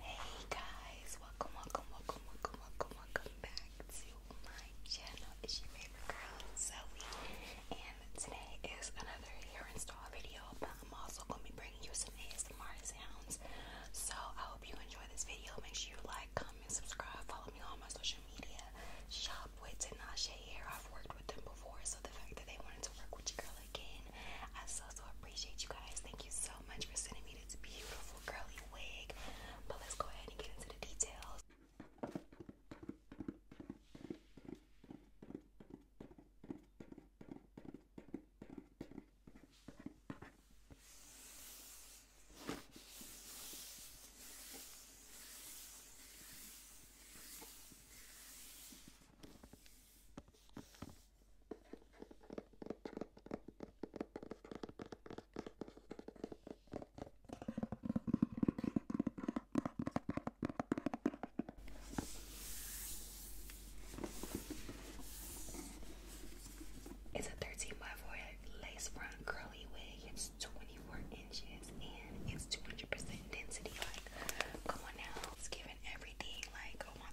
Hey guys, welcome, welcome, welcome, welcome, welcome, welcome back to my channel. It's your favorite girl, Zoe, and today is another hair install video. But I'm also gonna be bringing you some ASMR sounds. So I hope you enjoy this video. Make sure you like, comment, subscribe, follow me on my social media. Shop with Tinashe Hair. I've worked with them before, so the fact that they wanted to work with your girl again, I so so appreciate you guys. Thank you so so much for sending me this beautiful curly wig. But let's go ahead and get into the details. It's a 13 by 4 lace front curly wig. It's 24 inches and it's 200% density. Like, come on now, it's giving everything. Like, oh my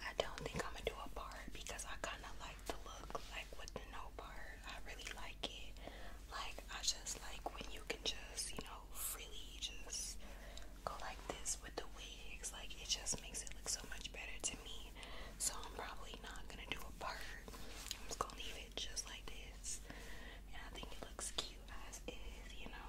I don't think I'm gonna do a part because I kind of like the look, like with the no part. I really like it. Like, I just like when you can just, you know, freely just go like this with the wigs. Like, it just makes it look so much better to me. So, I'm probably not gonna do a part. I'm just gonna leave it just like this. And I think it looks cute as is, you know.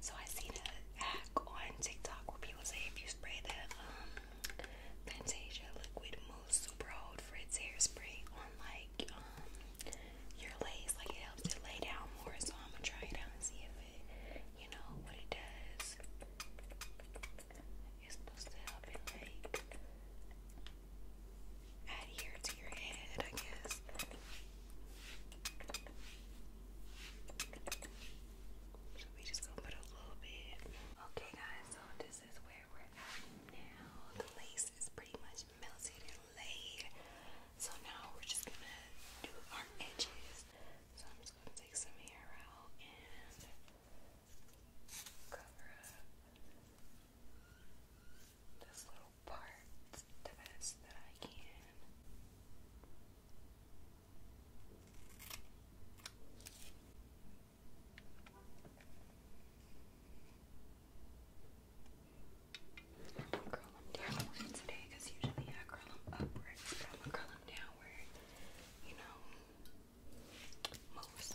So I seen a hack on TikTok where people say if you spray the um, Fantasia liquid mousse super old Fritz hairspray on like um, your lace, like it helps it lay down more. So I'm gonna try it out and see if it, you know, what it does. It's supposed to help it like adhere to your head, I guess. So we just going put a little bit. Okay guys, so this is where we're at now. The lace is pretty much melted and laid. So now we're just gonna do our edges. So I'm just gonna take some hair out and cover up this little part the best that I can. Curl them downward today because usually I curl them upwards, but I'm going downward, you know, most.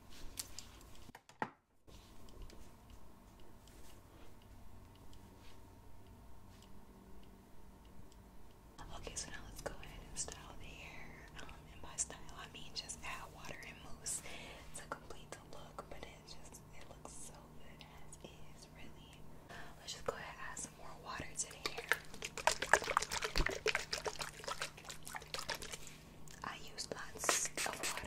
Okay, so now let's go ahead and style the hair. Um, and by style, I mean just add water and mousse to complete the look, but it just it looks so good as is, really. Let's just go ahead and add some more water to the hair. I use lots of water.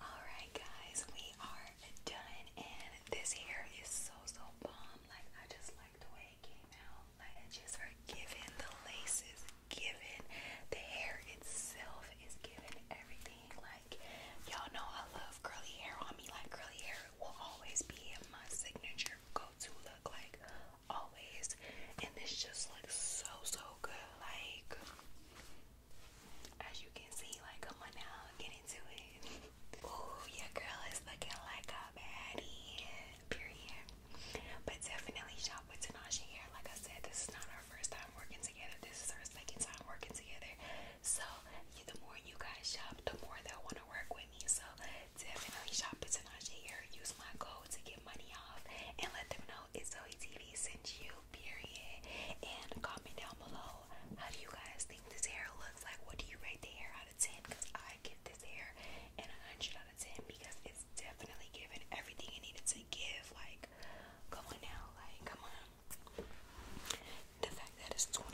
Alright, guys, we are done, and this hair is so so bomb. Like, I just like the way it came out. Like it's just her giving the laces, given the hair itself is giving everything. Like y'all know I love curly hair on me. Like curly hair will always be my signature go-to look. Like always, and this just looks so so good. Like as you can see, like I'm now Ooh, your girl is looking like a baddie, period. But definitely shop with Tanache here. Like I said, this is not our first time working together. This is our second time working together. So the more you guys shop, the more they'll want to work with me. So definitely shop with Tanache here. Use my code to get money off and let them know it's Zoe TV sent you, period. And comment down below how do you guys think this hair looks like? What do you rate the hair out of 10? Because I I this hair an 100 out of 10 because it's definitely given everything it needed to give. Like, come on now, like, come on. The fact that it's 24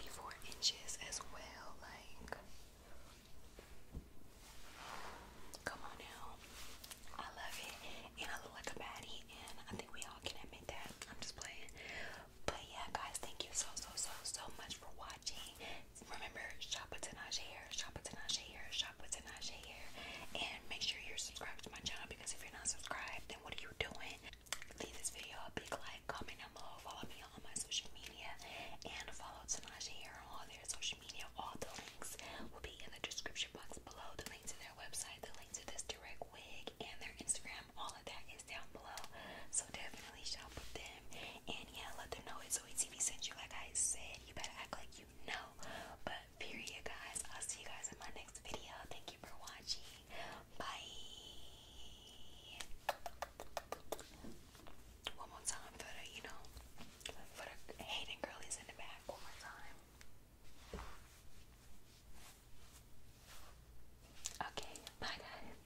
inches as well, like, come on now. I love it, and I look like a baddie, and I think we all can admit that. I'm just playing, but yeah, guys, thank you so so so so much for watching. Remember, shop with Tinashe here, shop with Tinashe here, shop with Tinashe here, and make sure you're subscribed to my channel because if you're not subscribed, then what are you doing? Leave this video a big like, comment down below, follow me on my social media, and follow Tinashe here on all their social media. All the links will be in the description box below. The link to their website, the link to this direct wig, and their Instagram. All of that is down below. So definitely shop with them. And yeah, let them know it's OETV sent you. Like I said, you better act like you know. But period, guys. I'll see you guys in my next video. Thank you for watching. Bye. One more time for you know, for the girlies in the back. One more time. Okay, bye guys.